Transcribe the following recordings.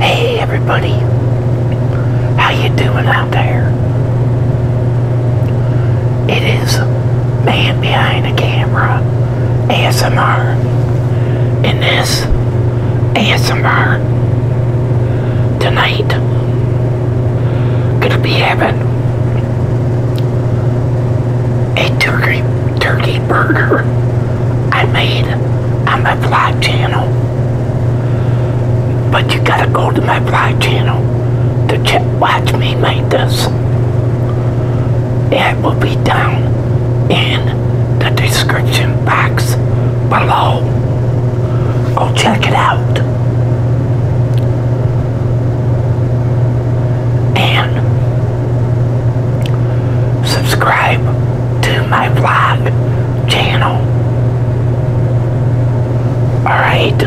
Hey everybody, how you doing out there? It is Man Behind the Camera ASMR, and this ASMR tonight gonna be having a turkey turkey burger I made on my vlog channel. But you gotta go to my vlog channel to check, watch me make this. It will be down in the description box below. Go check it out. And subscribe to my vlog channel. Alright?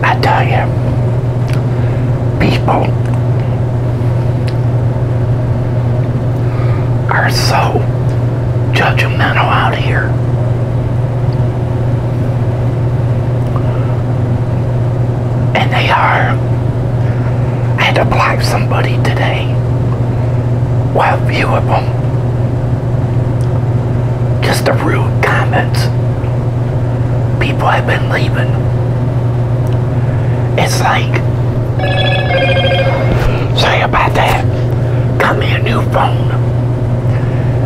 I tell you, people are so judgmental out here. And they are I had to block somebody today. Well, a few of them. Just the rude comments people have been leaving. It's like, say about that. Got me a new phone.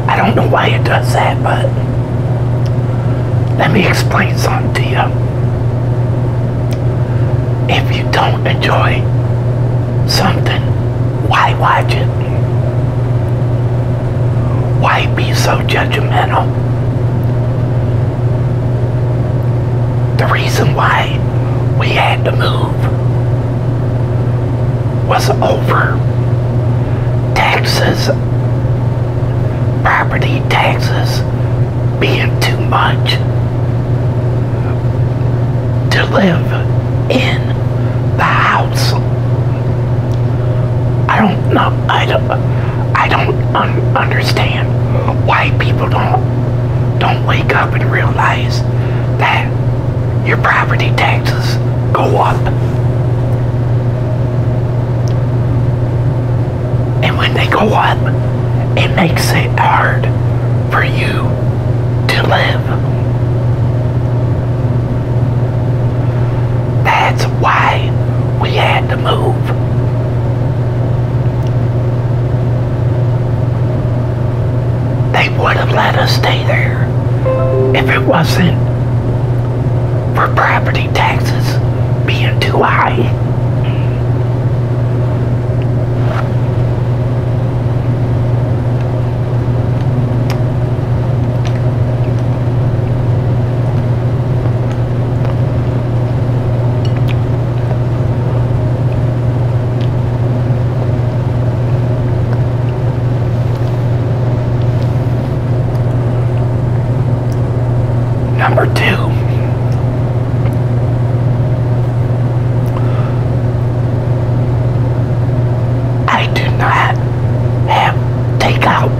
I don't know why it does that, but let me explain something to you. If you don't enjoy something, why watch it? Why be so judgmental? The reason why we had to move was over taxes, property taxes being too much to live in the house. I don't know. I don't. I don't understand why people don't don't wake up and realize that your property taxes go up. And when they go up, it makes it hard for you to live. That's why we had to move. They would have let us stay there if it wasn't for property taxes being too high. Number two, I do not have to takeout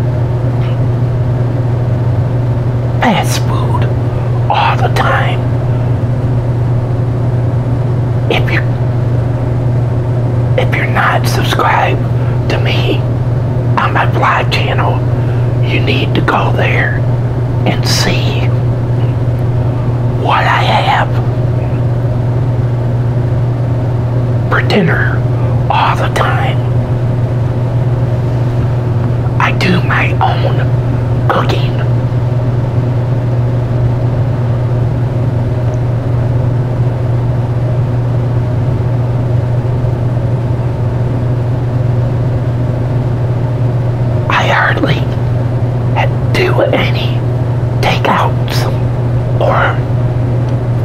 fast food all the time. If you if you're not subscribed to me on my live channel, you need to go there and see what I have for dinner all the time. I do my own cooking. I hardly do any takeouts or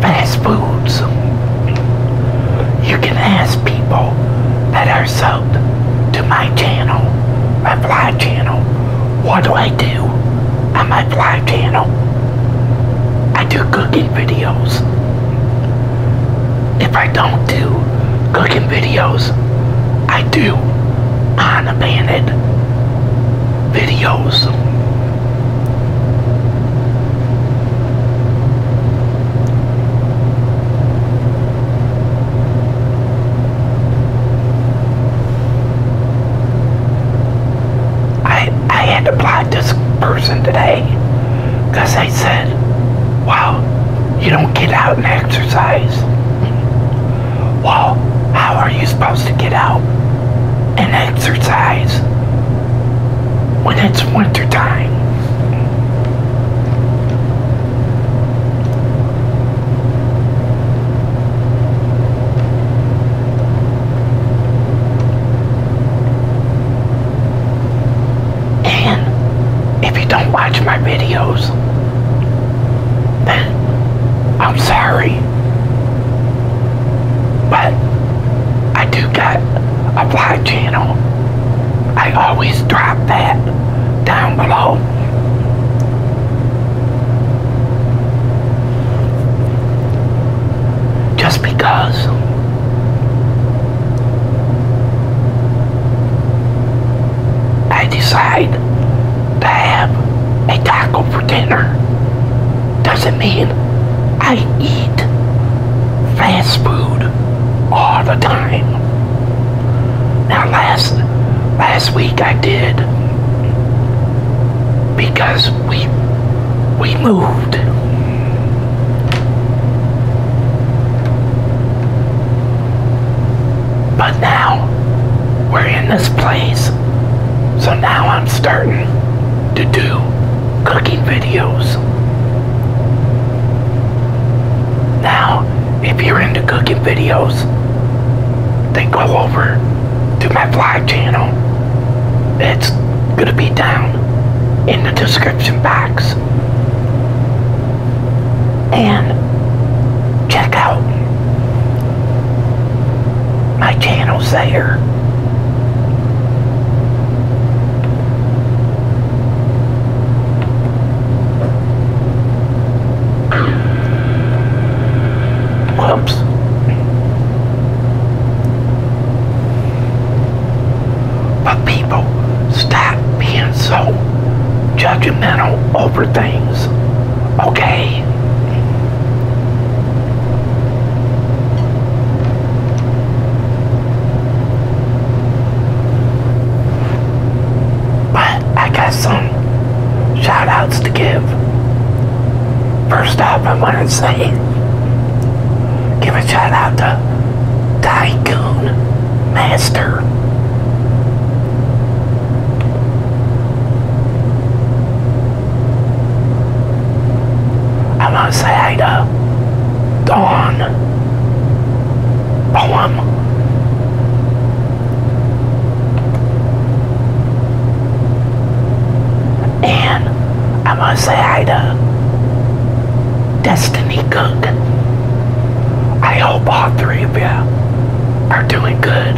fast foods. You can ask people that are subbed to my channel, my fly channel, what do I do on my fly channel? I do cooking videos. If I don't do cooking videos, I do unabandoned videos. I, I had this person today because I said, wow, you don't get out and exercise. Well, how are you supposed to get out and exercise when it's winter time? And if you don't watch my videos, then I'm sorry. But I do got a vlog channel. I always drop that down below. Just because I decide to have a taco for dinner doesn't mean I eat fast food all the time. Now last last week I did because we we moved. But now we're in this place. So now I'm starting to do cooking videos. Now, if you're into cooking videos, they go over to my vlog channel. It's gonna be down in the description box and check out my channels there. Whoops. But people stop being so judgmental over things. Okay? But I got some shout outs to give. First up, I want to say Give a shout out to Tycoon Master. I want to say hi to Dawn Poem. And I want to say hi to Destiny good. I hope all three of you are doing good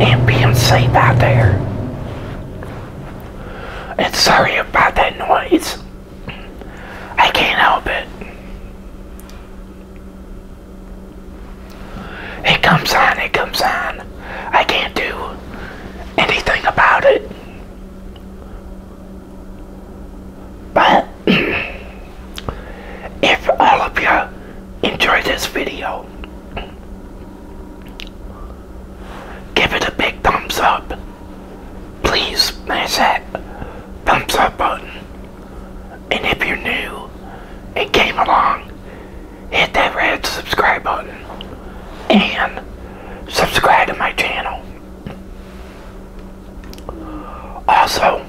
and being safe out there. And sorry about that noise. I can't help it. It comes on, it comes on. I can't do anything about it. But if all of you enjoy this video, give it a big thumbs up. Please smash that thumbs up button. And if you're new and came along, hit that red subscribe button and subscribe to my channel. Also,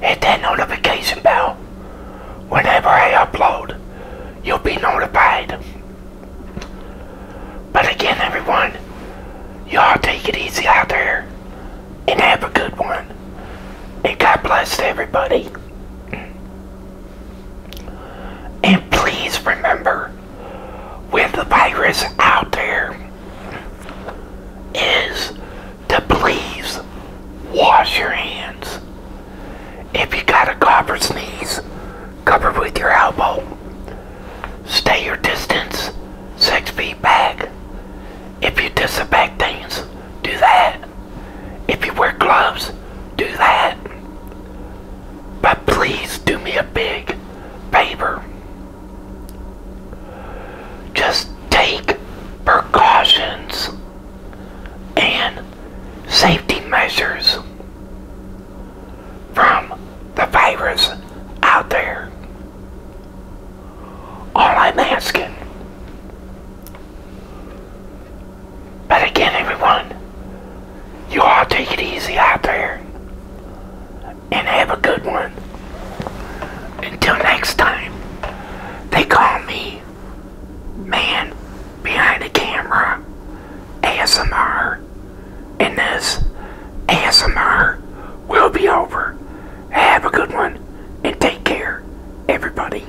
hit that notification bell. Whenever I upload, you'll be notified. But again, everyone, y'all take it easy out there and have a good one. And God bless everybody. And please remember with the virus out there is to please wash your hands. If you got a cough or sneeze, cover with your elbow. Stay your distance, six feet back. If you disinfect things, do that. If you wear gloves, do that. But please do me a big favor. Just take precautions and safety measures from the virus out there. All I'm asking. But again, everyone, you all take it easy out there. And have a good one. Until next time, they call me Man Behind the Camera ASMR. And this ASMR will be over. Have a good one and take care, everybody.